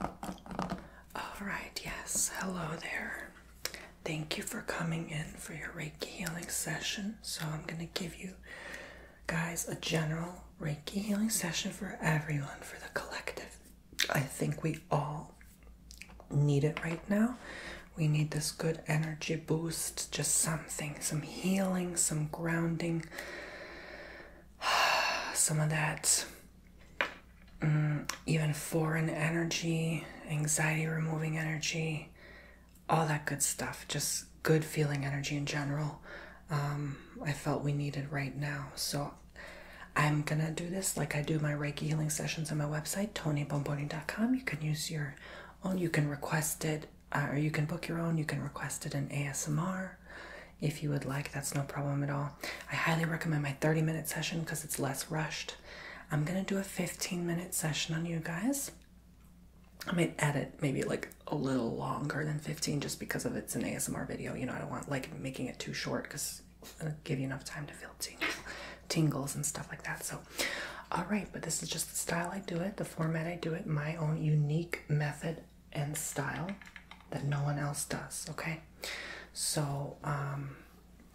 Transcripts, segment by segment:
All right, yes, hello there. Thank you for coming in for your Reiki healing session. So, I'm going to give you guys a general Reiki healing session for everyone, for the collective. I think we all need it right now. We need this good energy boost, just something, some healing, some grounding, some of that mm, even foreign energy, anxiety removing energy, all that good stuff, just good feeling energy in general. Um, I felt we needed right now. So I'm gonna do this like I do my Reiki healing sessions on my website, tonybomboni.com. You can use your own, you can request it, uh, or you can book your own, you can request it in ASMR if you would like. That's no problem at all. I highly recommend my 30 minute session because it's less rushed. I'm going to do a 15 minute session on you guys. I might add it maybe like a little longer than 15 just because of it's an ASMR video. You know, I don't want like making it too short because give you enough time to feel tingles and stuff like that. So, all right, but this is just the style I do it, the format I do it, my own unique method and style that no one else does, okay? So, um,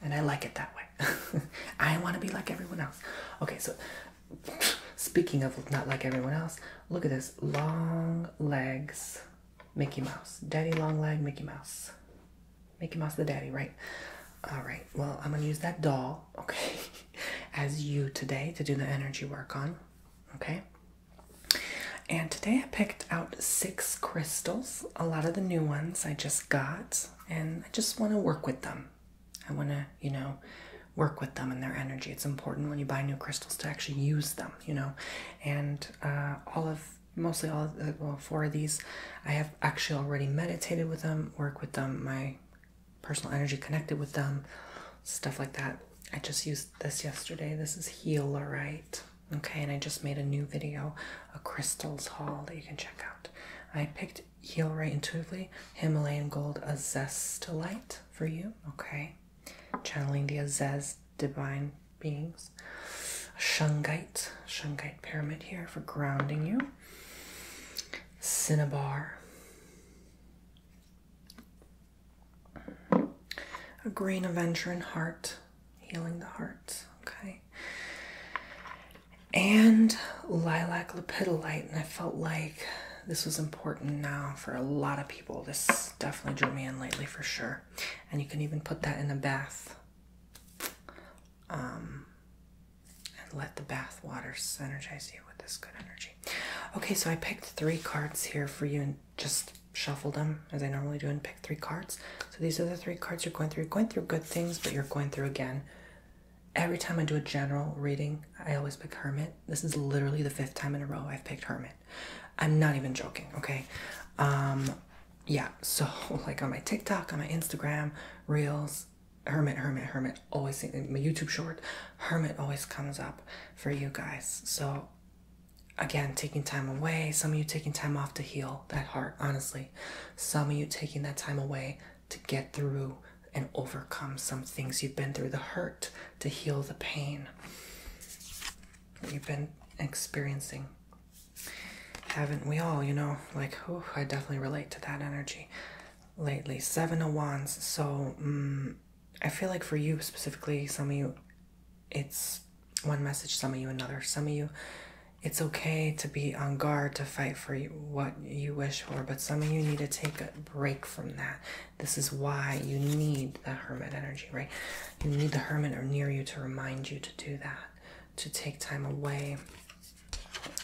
and I like it that way. I want to be like everyone else. Okay, so speaking of not like everyone else, look at this long legs Mickey Mouse. Daddy long leg Mickey Mouse. Mickey Mouse the daddy, right? All right, well, I'm gonna use that doll, okay, as you today to do the energy work on, okay? And today I picked out six crystals, a lot of the new ones I just got, and I just want to work with them. I want to, you know, work with them and their energy. It's important when you buy new crystals to actually use them, you know. And uh, all of, mostly all well, four of these, I have actually already meditated with them, work with them, my personal energy connected with them, stuff like that. I just used this yesterday. This is Healerite. Okay, and I just made a new video, a crystals haul that you can check out. I picked Healerite intuitively, Himalayan Gold Azestalite for you. Okay, channeling the Azez divine beings. Shungite, Shungite pyramid here for grounding you. Cinnabar. A green aventurine heart, healing the heart. Okay. And lilac lepidolite, and I felt like this was important now for a lot of people. This definitely drew me in lately for sure. And you can even put that in a bath. Um, and let the bath water energize you with this good energy. Okay, so I picked three cards here for you and just shuffled them as I normally do and pick three cards. So these are the three cards you're going through. going through good things, but you're going through again. Every time I do a general reading, I always pick Hermit. This is literally the fifth time in a row I've picked Hermit. I'm not even joking, okay? Um, yeah, so like on my TikTok, on my Instagram, Reels, Hermit, Hermit, Hermit, always, my YouTube short, Hermit always comes up for you guys. So, again, taking time away, some of you taking time off to heal that heart, honestly. Some of you taking that time away to get through and overcome some things you've been through the hurt, to heal the pain you've been experiencing. Haven't we all, you know, like, oh, I definitely relate to that energy lately. Seven of Wands, so. Mm, I feel like for you specifically, some of you, it's one message, some of you another. Some of you, it's okay to be on guard to fight for what you wish for, but some of you need to take a break from that. This is why you need the hermit energy, right? You need the hermit or near you to remind you to do that, to take time away.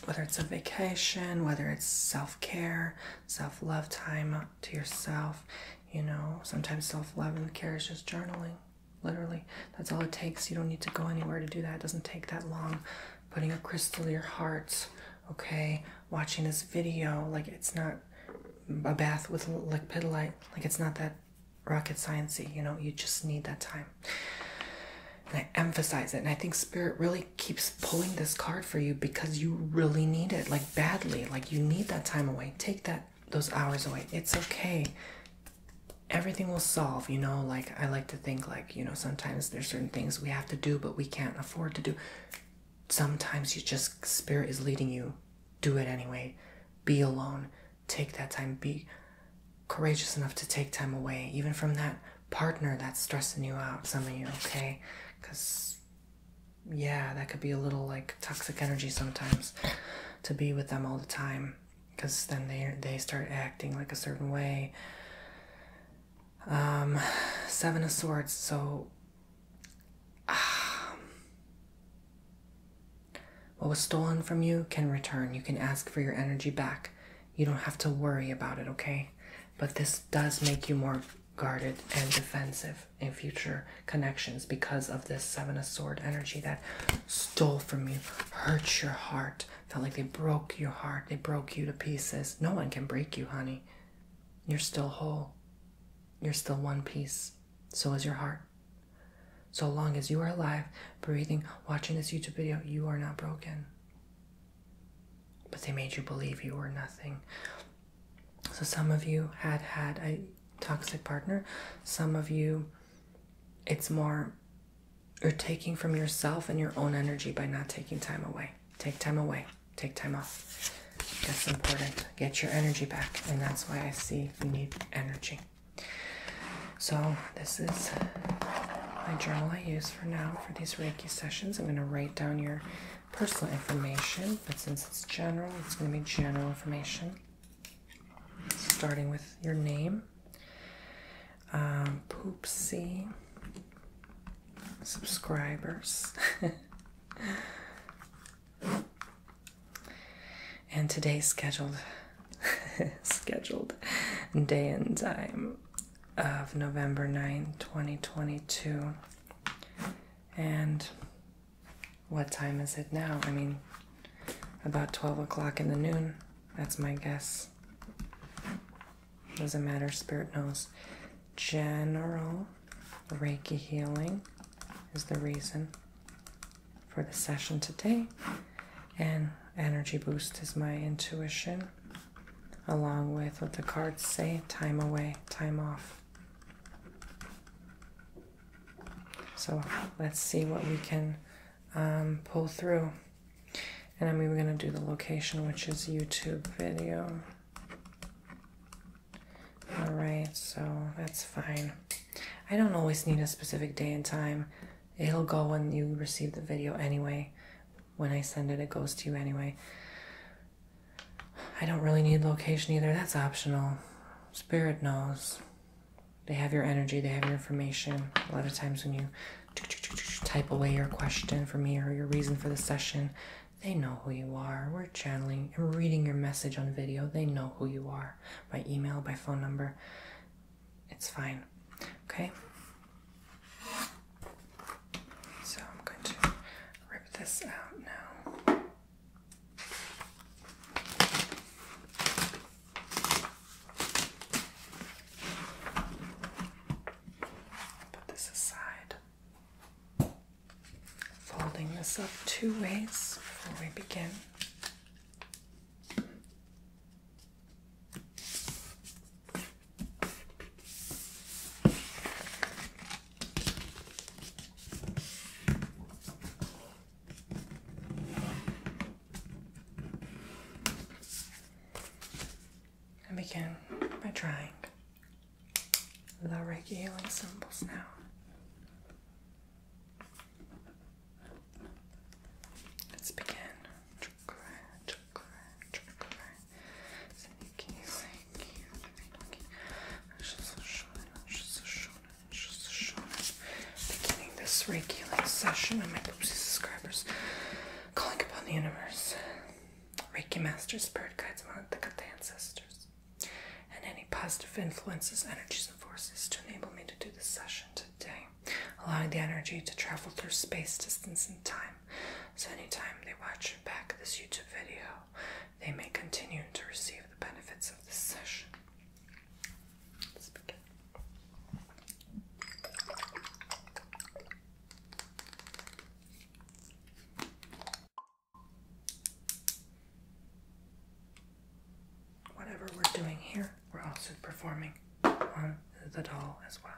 Whether it's a vacation, whether it's self care, self love time to yourself. You know, sometimes self love and care is just journaling. Literally, that's all it takes. You don't need to go anywhere to do that. It doesn't take that long. Putting a crystal in your heart, okay? Watching this video, like it's not a bath with lipidolite, like it's not that rocket sciencey. You know, you just need that time. And I emphasize it, and I think spirit really keeps pulling this card for you because you really need it like badly like you need that time away take that those hours away it's okay everything will solve you know like i like to think like you know sometimes there's certain things we have to do but we can't afford to do sometimes you just spirit is leading you do it anyway be alone take that time be courageous enough to take time away even from that partner that's stressing you out, some of you, okay? Because, yeah, that could be a little like toxic energy sometimes to be with them all the time because then they, they start acting like a certain way. Um, seven of Swords, so. Um, what was stolen from you can return. You can ask for your energy back. You don't have to worry about it, okay? but this does make you more guarded and defensive in future connections because of this seven of sword energy that stole from you hurt your heart felt like they broke your heart they broke you to pieces no one can break you honey you're still whole you're still one piece so is your heart so long as you are alive breathing watching this youtube video you are not broken but they made you believe you were nothing. So some of you had had a toxic partner, some of you, it's more you're taking from yourself and your own energy by not taking time away. Take time away, take time off. That's important. Get your energy back, and that's why I see you need energy. So, this is my journal I use for now for these Reiki sessions. I'm going to write down your personal information, but since it's general, it's going to be general information. Starting with your name, um, Poopsie, subscribers. and today's scheduled scheduled day and time of November 9, 2022. And what time is it now? I mean, about 12 o'clock in the noon. That's my guess. Doesn't matter, Spirit knows. General Reiki healing is the reason for the session today. And energy boost is my intuition along with what the cards say time away, time off. So let's see what we can um, pull through. And I mean, we're going to do the location, which is YouTube video. All right, so that's fine. I don't always need a specific day and time. It'll go when you receive the video anyway, when I send it, it goes to you anyway. I don't really need location either. That's optional. Spirit knows. They have your energy, they have your information. A lot of times when you type away your question for me or your reason for the session, they know who you are. We're channeling and reading your message on video. They know who you are by email, by phone number. It's fine. Okay? So I'm going to rip this out now. Put this aside. Folding this up two ways before we begin. And begin by trying the Reiki healing symbols now. Let's begin chakra, chakra. Seninki right here. Beginning this Reiki like session on my Poopsie subscribers, calling upon the universe, Reiki masters, spirit guides, the ancestors, and any positive influences, energies, and forces to enable me to do this session today allowing the energy to travel through space, distance, and time. So, anytime they watch or back this YouTube video, they may continue to receive the benefits of this session. Whatever we're doing here we're also performing on the doll as well.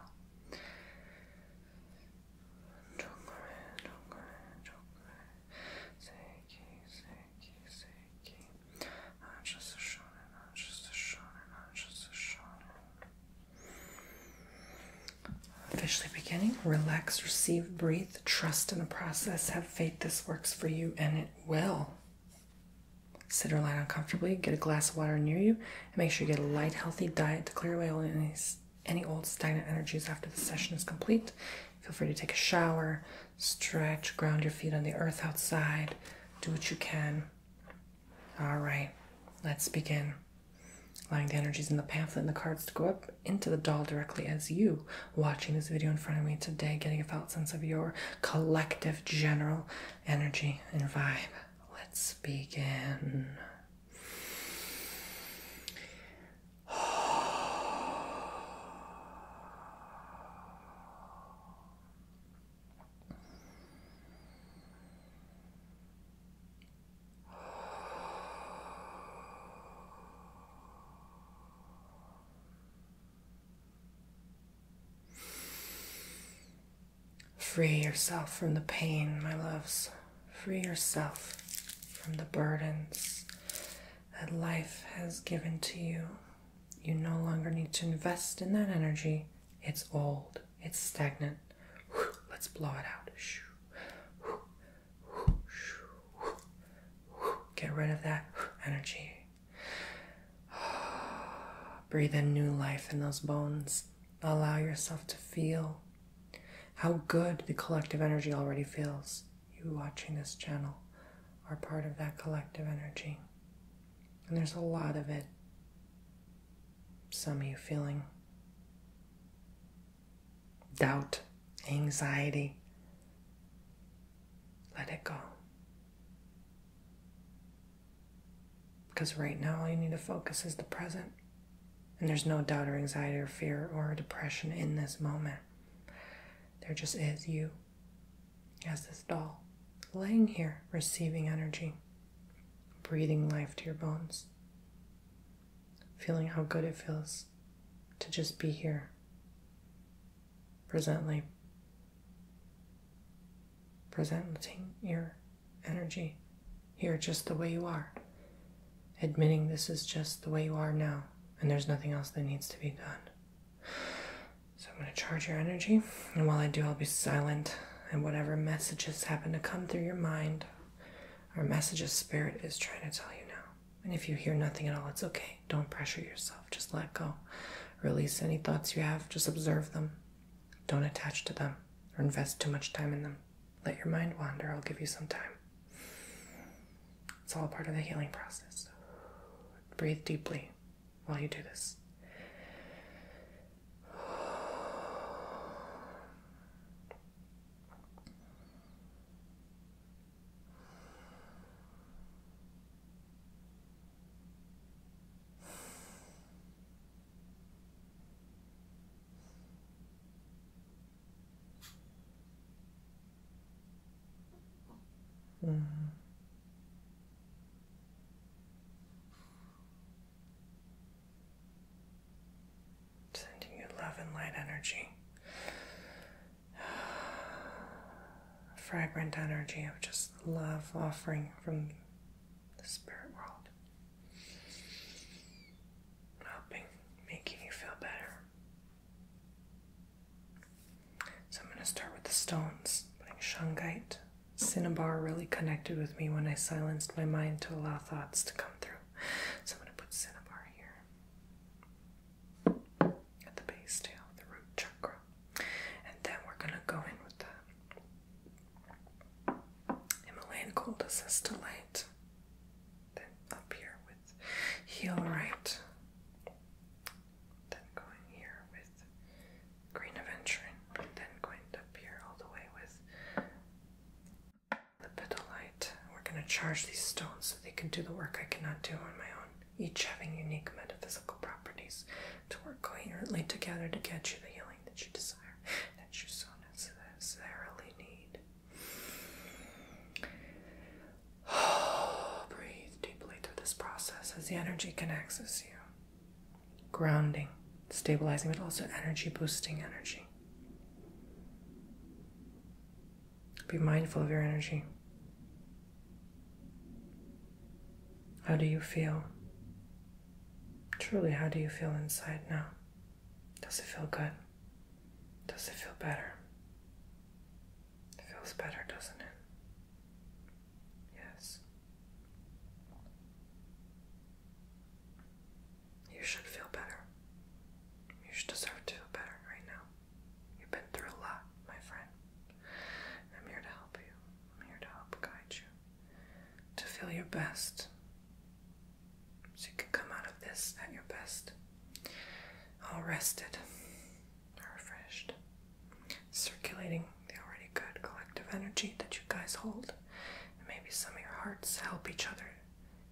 Officially beginning, relax, receive, breathe, trust in the process, have faith this works for you, and it will sit or lie down get a glass of water near you, and make sure you get a light, healthy diet to clear away any, any old stagnant energies after the session is complete. Feel free to take a shower, stretch, ground your feet on the earth outside, do what you can. All right, let's begin. Allowing the energies in the pamphlet and the cards to go up into the doll directly as you watching this video in front of me today, getting a felt sense of your collective general energy and vibe. Let's begin. Free yourself from the pain, my loves. Free yourself from the burdens that life has given to you. You no longer need to invest in that energy. It's old, it's stagnant. Let's blow it out. Get rid of that energy. Breathe in new life in those bones. Allow yourself to feel how good the collective energy already feels. You watching this channel are part of that collective energy. And there's a lot of it. Some of you feeling doubt, anxiety. Let it go. Because right now, all you need to focus is the present. And there's no doubt or anxiety or fear or depression in this moment. There just is you as this doll laying here, receiving energy, breathing life to your bones, feeling how good it feels to just be here presently presenting your energy here just the way you are, admitting this is just the way you are now, and there's nothing else that needs to be done. So I'm going to charge your energy, and while I do, I'll be silent, and whatever messages happen to come through your mind or messages Spirit is trying to tell you now. And if you hear nothing at all, it's okay. Don't pressure yourself, just let go. Release any thoughts you have, just observe them. Don't attach to them or invest too much time in them. Let your mind wander, I'll give you some time. It's all part of the healing process. Breathe deeply while you do this. Mm. Sending you love and light energy fragrant energy of just love offering from the spirit world. Helping, making you feel better. So I'm going to start with the stones. Putting shungite. Cinnabar really connected with me when I silenced my mind to allow thoughts to come through. So I'm going to put cinnabar here at the base tail, the root chakra. And then we're going to go in with the Himalayan cold assist light. Then up here with heel right. Then going here with green aventurine. Then going up here all the way with the pedalite. We're going to charge these stones so they can do the work I cannot do on my own each having unique metaphysical properties to work coherently together to get you the healing that you desire, that you so necessarily need. Breathe deeply through this process as the energy connects access you. Grounding, stabilizing, but also energy boosting energy. Be mindful of your energy. How do you feel? Truly, how do you feel inside now? Does it feel good? Does it feel better? It feels better, doesn't it? Yes. You should feel better. You should deserve to feel better right now. You've been through a lot, my friend. I'm here to help you. I'm here to help guide you to feel your best so you can come out of this at your best. All rested, refreshed, circulating the already good collective energy that you guys hold. And maybe some of your hearts help each other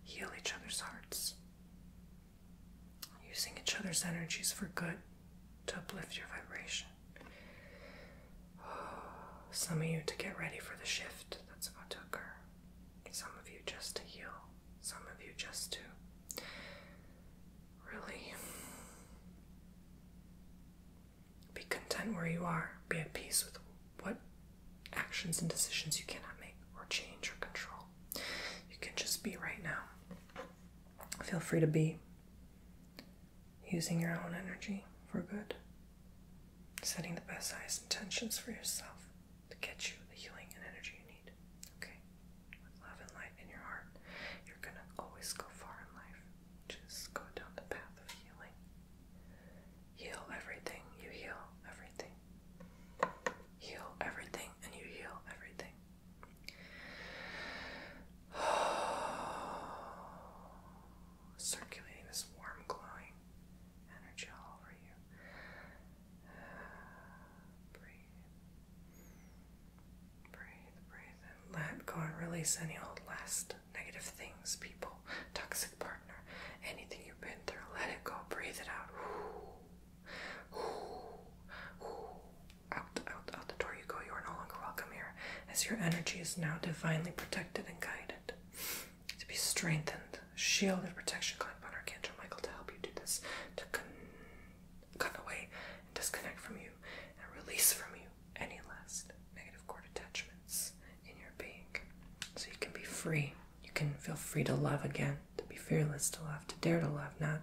heal each other's hearts using each other's energies for good to uplift your vibration. Some of you to get ready for the shift that's about to occur, some of you just to heal, some of you just to really be content where you are, be at peace with what actions and decisions you cannot make or change or control. You can just be right now. Feel free to be using your own energy for good, setting the best, highest intentions for yourself to get you the healing and energy you need. Okay? With love and light in your heart, you're going to always go far in life. Just go down the path of healing. Heal everything. You heal everything. Heal everything, and you heal everything. Circulating this warm, glowing energy all over you. breathe. Breathe, breathe, and let go and release any old last negative things, people, toxic partner, anything you've been through. Let it go. Breathe it out. Out, out, out the door you go. You are no longer welcome here, as your energy is now divinely protected and guided. To be strengthened, shielded, and protection, climb upon Archangel Michael to help you do this, to cut away and disconnect from you, and release from you any last negative cord attachments in your being, so you can be free you can feel free to love again, to be fearless to love, to dare to love, not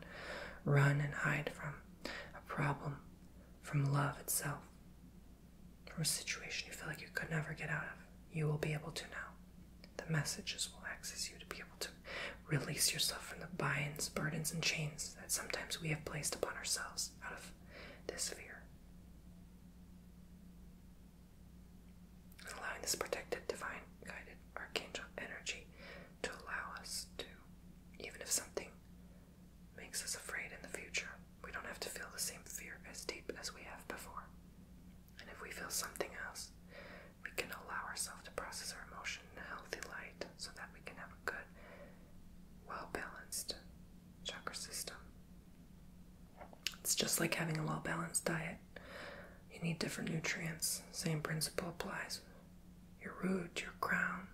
run and hide from a problem, from love itself, from a situation you feel like you could never get out of. You will be able to now. The messages will access you to be able to release yourself from the binds, burdens, and chains that sometimes we have placed upon ourselves out of this fear allowing this protected, divine, guided archangel energy to allow us to, even if something makes us afraid in the future, we don't have to feel the same fear as deep as we have before. And if we feel something else, we can allow ourselves to process our emotion in a healthy light so that we can have a good, well balanced chakra system. It's just like having a well balanced diet. You need different nutrients. Same principle applies. Your root, your crown.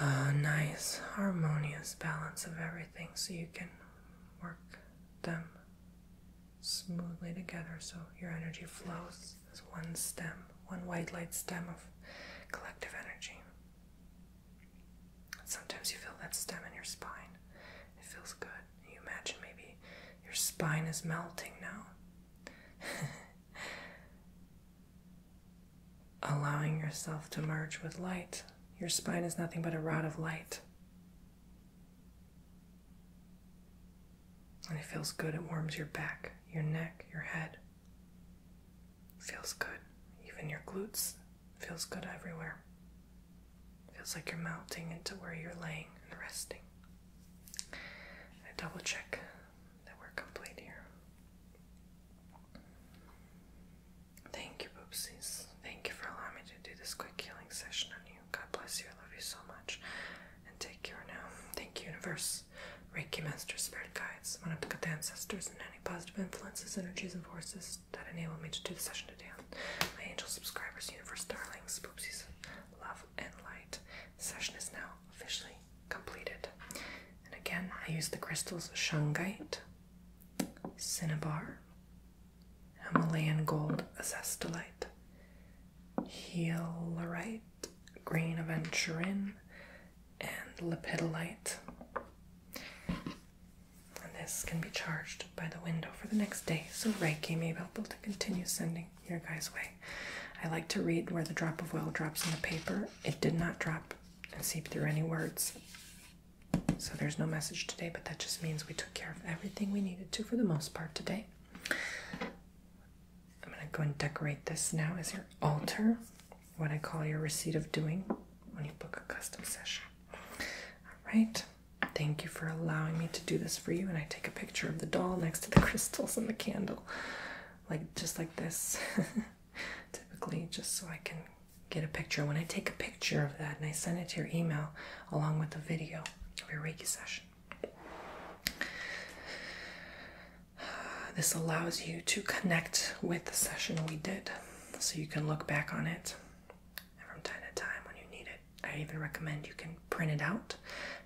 A uh, nice, harmonious balance of everything so you can work them smoothly together so your energy flows as one stem, one white light stem of collective energy. Sometimes you feel that stem in your spine. It feels good you imagine maybe your spine is melting now? Allowing yourself to merge with light. Your spine is nothing but a rod of light. And it feels good. It warms your back, your neck, your head. feels good. Even your glutes. feels good everywhere. Feels like you're melting into where you're laying and resting. I double check that we're complete here. Thank you, Boopsies. Thank you for allowing me to do this quick healing session on you. God bless you. I love you so much. And take care now. Thank you, Universe. Reiki masters, Spirit Guides, one of the good ancestors and any positive influences, energies, and forces that enable me to do the session today my angel subscribers, universe darlings, poopsies, love, and light. session is now officially completed. And again, I use the crystals shungite, cinnabar, Himalayan gold azestalite, healerite, green aventurine, and lepidolite. And this can be charged by the window for the next day. So Reiki may be able to continue sending your guys' way. I like to read where the drop of oil drops on the paper. It did not drop and seep through any words. So there's no message today, but that just means we took care of everything we needed to for the most part today. I'm going to go and decorate this now as your altar, what I call your receipt of doing when you book a custom session. All right. Thank you for allowing me to do this for you. And I take a picture of the doll next to the crystals and the candle, like just like this, typically, just so I can get a picture. When I take a picture of that and I send it to your email along with the video of your Reiki session, this allows you to connect with the session we did so you can look back on it and from time to time when you need it. I even recommend you can print it out,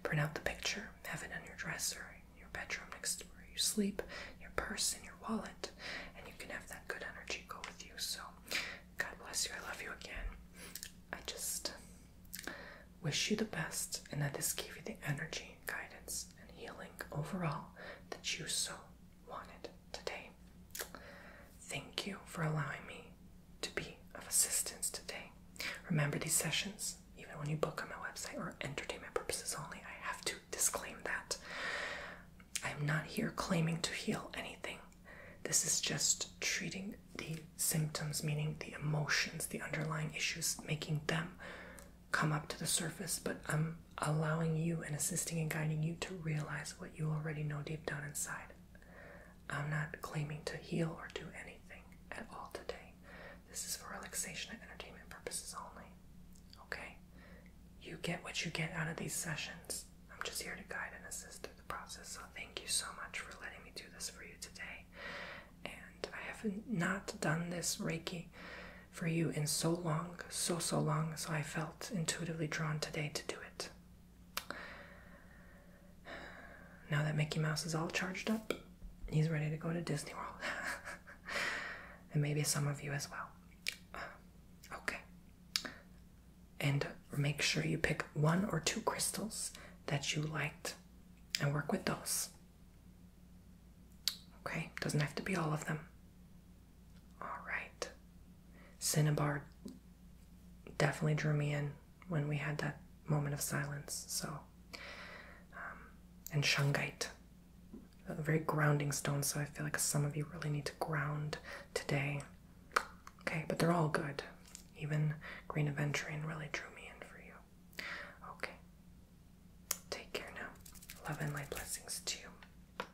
print out the picture, have it on your dresser, your bedroom next to where you sleep, your purse, and your wallet, and you can have that good energy go with you. So, God bless you. I love you again. I just wish you the best and that this gave you the energy, guidance, and healing overall that you so today. Thank you for allowing me to be of assistance today. Remember these sessions, even when you book on my website, are entertainment purposes only. I have to disclaim that. I am not here claiming to heal anything. This is just treating the symptoms, meaning the emotions, the underlying issues, making them come up to the surface, but I'm allowing you and assisting and guiding you to realize what you already know deep down inside. I'm not claiming to heal or do anything at all today. This is for relaxation and entertainment purposes only. Okay? You get what you get out of these sessions. I'm just here to guide and assist through the process. So thank you so much for letting me do this for you today. And I have not done this Reiki for you in so long, so so long, so I felt intuitively drawn today to do it. Now that Mickey Mouse is all charged up, he's ready to go to Disney World. and maybe some of you as well. okay. And make sure you pick one or two crystals that you liked and work with those. Okay, doesn't have to be all of them. All right. Cinnabar definitely drew me in when we had that moment of silence. So, um, and shungite, a very grounding stone. So I feel like some of you really need to ground today. Okay, but they're all good. Even green aventurine really drew me in for you. Okay. Take care now. Love and light blessings to you.